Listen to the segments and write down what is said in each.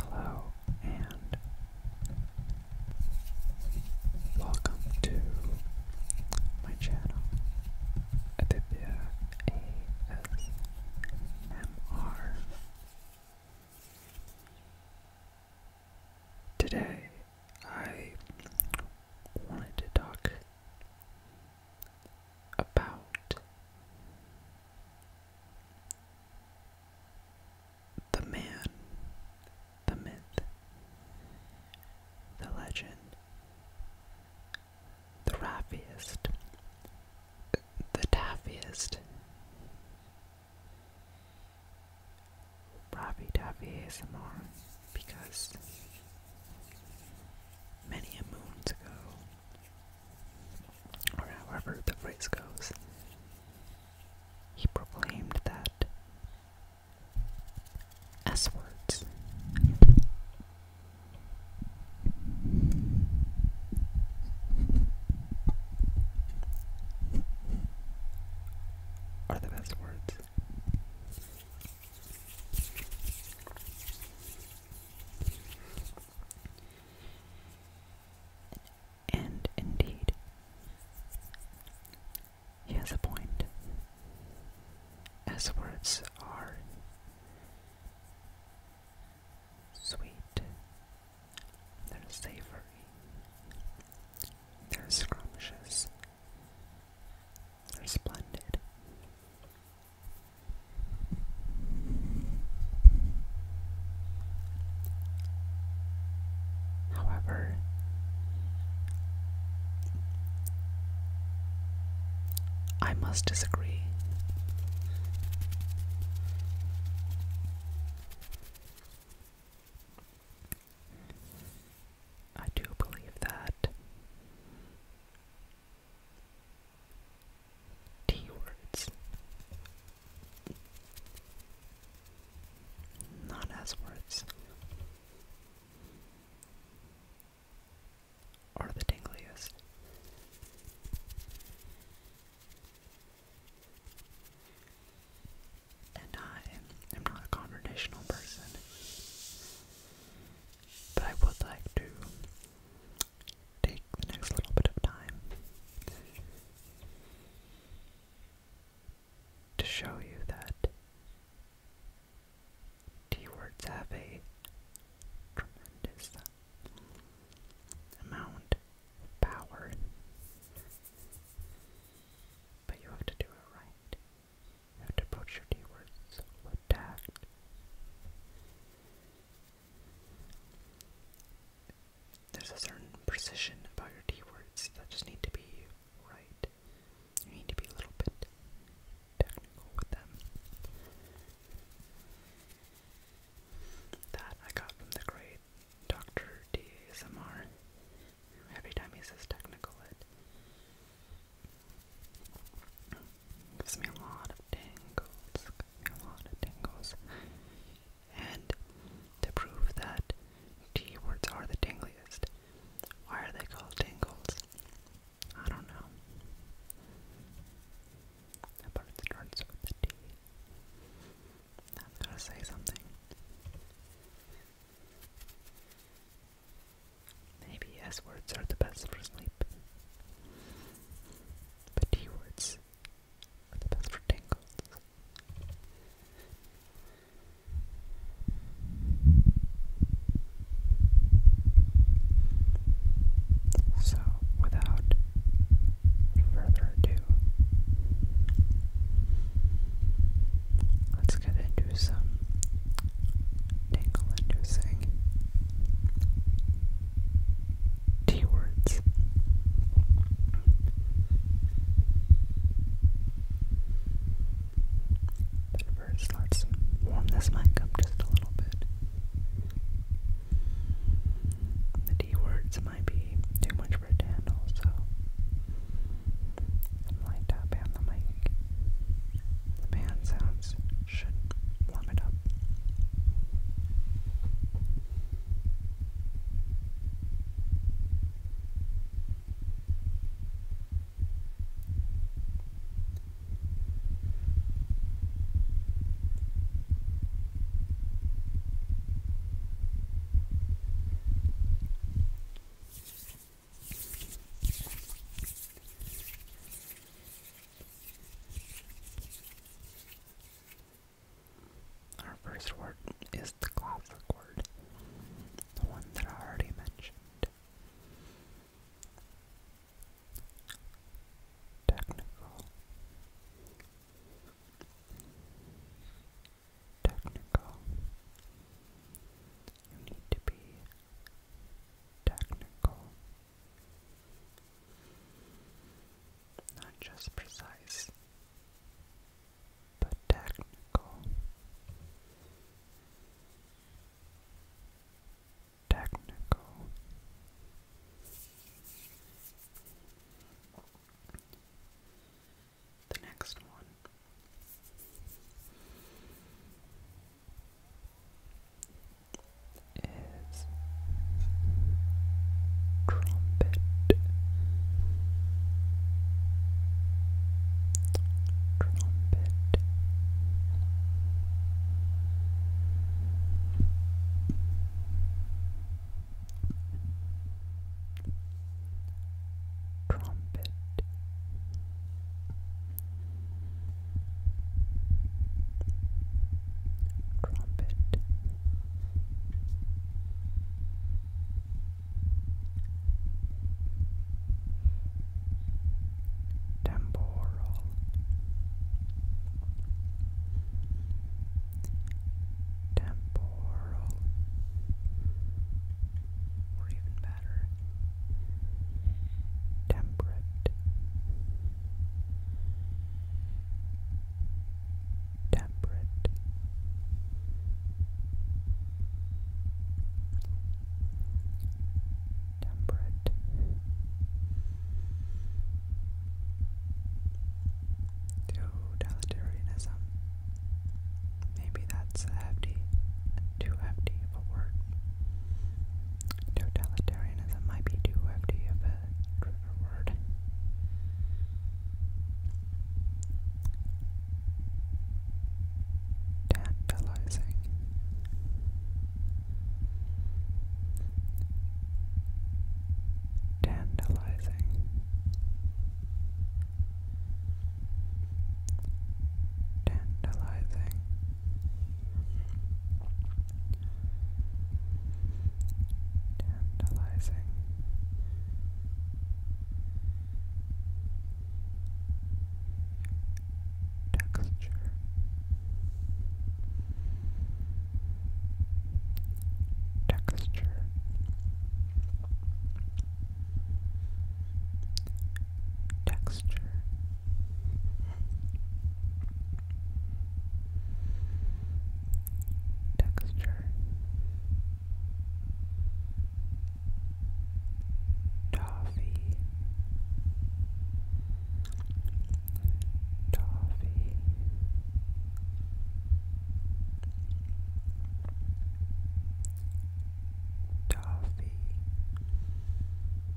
Hello and welcome to my channel Aditya Today I wanted to talk about the man, the myth, the legend, the raffiest, the taffiest. Ravi Davi ASMR because many moons ago or however the phrase goes, he proclaimed that S words. Are the best words. And indeed, he has a point. As words are sweet, they're savory, they're scrumptious, they're splendid. However, I must disagree. I do believe that T words. Not as words. Or the dingliest. And I am not a confrontational person. But I would like to take the next little bit of time to show you that T words have a tremendous amount of power, but you have to do it right. You have to approach your T words with tact. There's a certain precision about your D words that just need to be right. You need to be a little bit technical with them. That I got from the great Dr. DSMR. Every time he says technical, it Gives me a lot of tingles. Gives me a lot of tingles. And to prove that T words are the tingliest, why are they called tingles? I don't know. But it starts with a T. That's gotta say something. Maybe S words are the best for sleep. The T-words are the best for tangles. So, without further ado, let's get into some tingle inducing T words. But 1st warm this mic up just a little bit. The D words might be too much for it I'm light up on the mic. The band sounds should warm it up. Our first word is the classic word, the one that I already mentioned. Technical. Technical. You need to be technical. Not just precise, but technical. Technical. The next one is trumpet. Trumpet. Trumpet trumpet temporal temporal or even better temperate temperate temperate totalitarianism maybe that's a too hefty of a word Totalitarianism might be too hefty of a trigger word. Tantalizing. Tantalizing. Tantalizing. Tantalizing. Texture Texture Texture Texture Toffee Toffee Toffee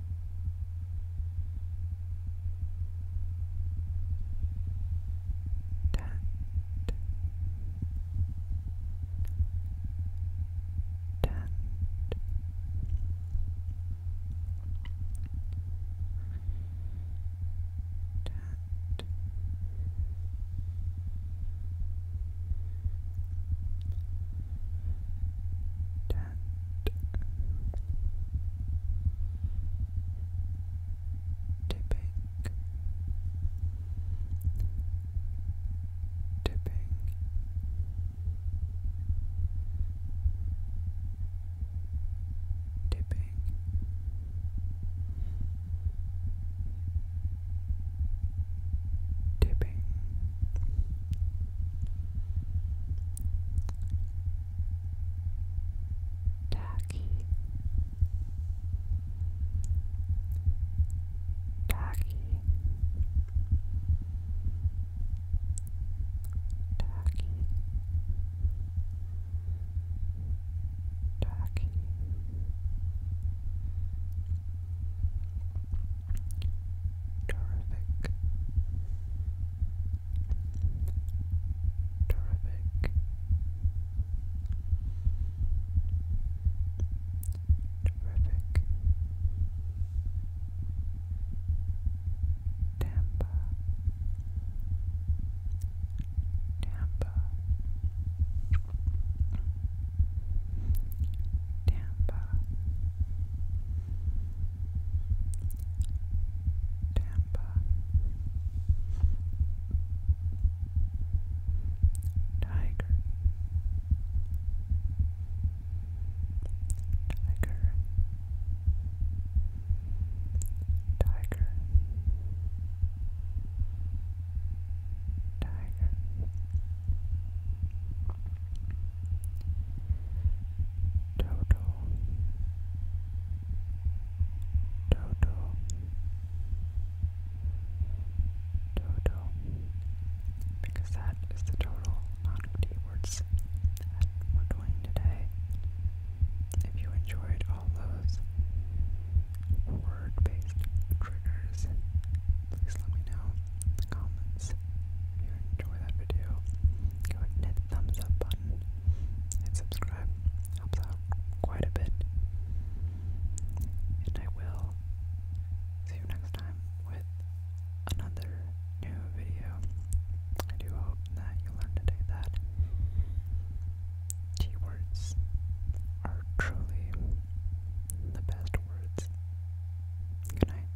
Tat. Tat. Tat. Tat. Tent. Tipping. Tipping. Tipping. Tacky, tacky, tacky, tacky. Terrific. Terrific. Terrific. Tampa. Tampa. Tampa. Tampa, Tiger, Tiger, Tiger, Tiger. Toto Toto Toto because that is the total amount of D words that doing today. If you enjoyed all those word based triggers, please let me know in the comments. If you enjoy that video, go ahead and hit the thumbs up button and subscribe. Helps out quite a bit. And I will see you next time with another new video. I do hope that you learned today that T words are truly the best words. Good night.